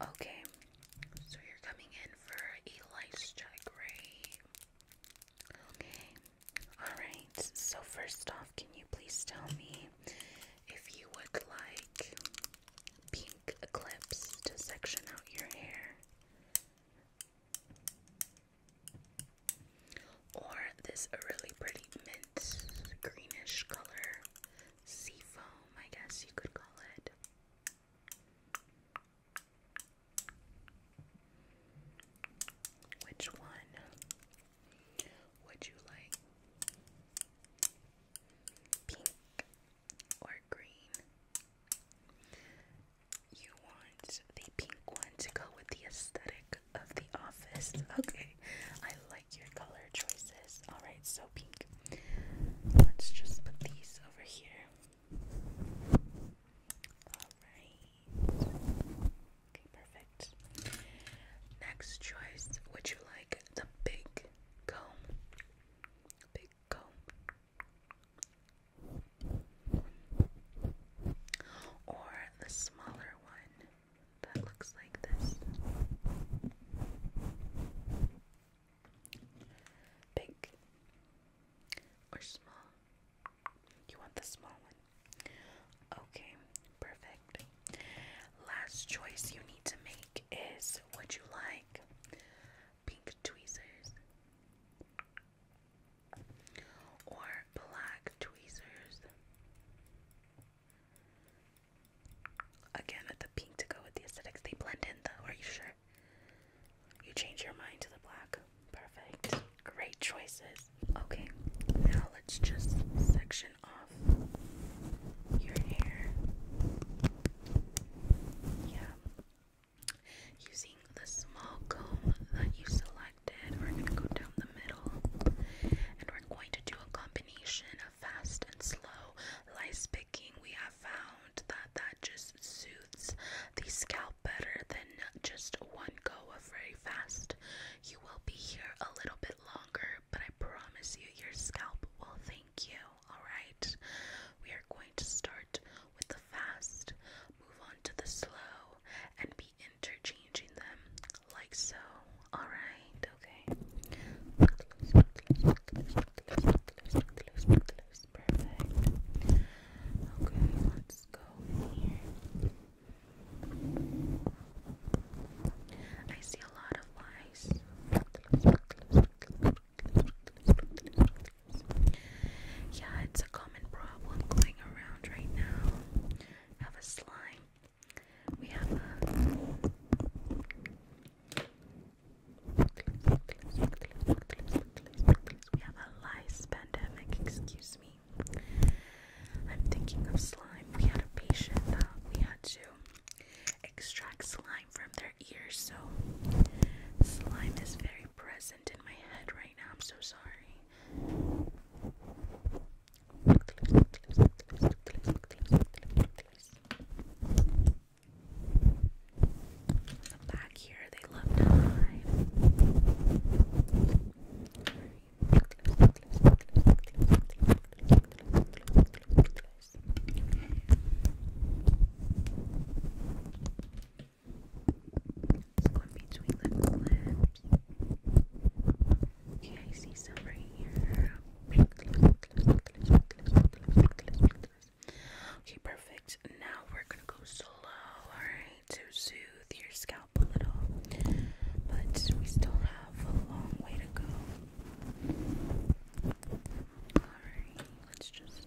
Okay, so you're coming in for a lice check, Okay, alright. So, first off, can you please tell me if you would like pink clips to section out your hair? Or this really pretty mint greenish color sea foam, I guess you could call it. Which one would you like? Pink or green? You want the pink one to go with the aesthetic of the office. Okay, I like your color choices. Alright, so pink. Let's just put these over here. Alright. Okay, perfect. Next choice, would you like the big comb? Big comb. Or the smaller one that looks like this. Big or small? You want the small one? Okay, perfect. Last choice you need to make is would you like pink tweezers or black tweezers? Again, with the pink to go with the aesthetics. They blend in though, are you sure? You change your mind to the black. Perfect. Great choices. Okay, now let's just section off your hair. Yeah. Using the small comb that you selected, we're going to go down the middle and we're going to do a combination of fast and slow lice picking, we have found that that just soothes the scalp better than just one go of very fast. You will be here a little bit longer, but I promise you, your scalp will thank you. Alright, we are going to start with the fast, move on to the slow, and be interchanging them like so. Alright, okay. Perfect. Okay, let's go here. I see a lot of lies. Yeah, it's a common problem going around right now. Have a slime we have a lice pandemic, excuse me. I'm thinking of slime. We had a patient that uh, we had to extract slime from their ears, so slime is very present in my head right now. I'm so sorry these. Back here, they love to It's going between the lips. Okay, I see some right here. Okay, perfect. Now we're gonna go slow, alright, to soothe your scalp a little. But we still have a long way to go. Alright, let's just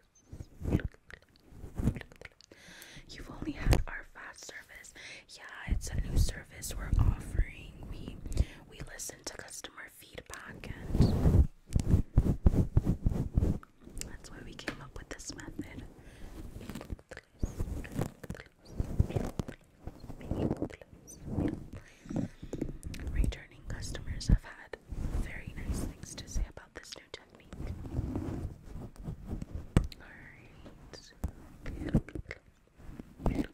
You've only had our fast service. Yeah, it's a new service we're offering. We we listen to customer feedback and that's why we came up with this method. Returning customers have had very nice things to say about this no technique. Alright. Okay. Alright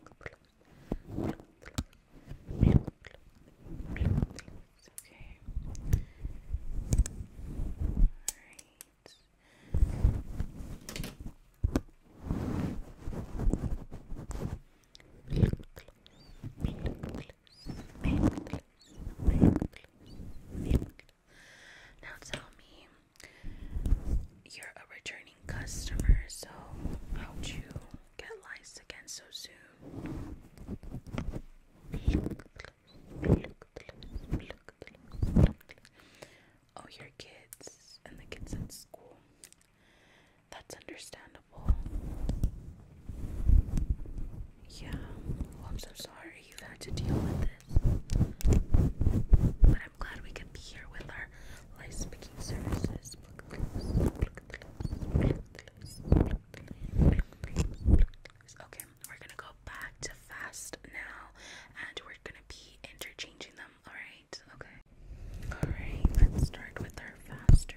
necklace, necklace. Now tell me, you're a returning customer, so how'd you get lice again so soon? Oh, your kids and the kids at school. That's understandable. Yeah, oh, I'm so sorry you had to deal with this. But I'm glad we could be here with our life speaking services. Okay, we're gonna go back to fast now and we're gonna be interchanging them, alright? Okay. Alright, let's start with our faster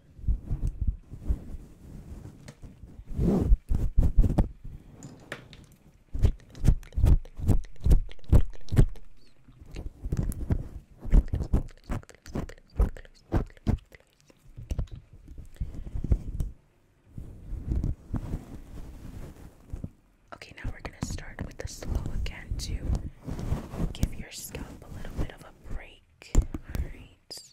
Okay, now we're going to start with the slow again to give your scalp a little bit of a break. All right.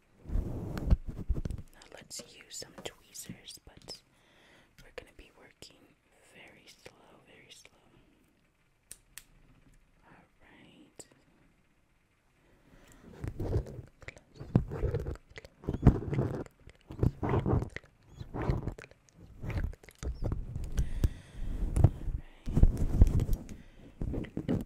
Now let's use some tweezers, but we're going to be working very slow, very slow. All right.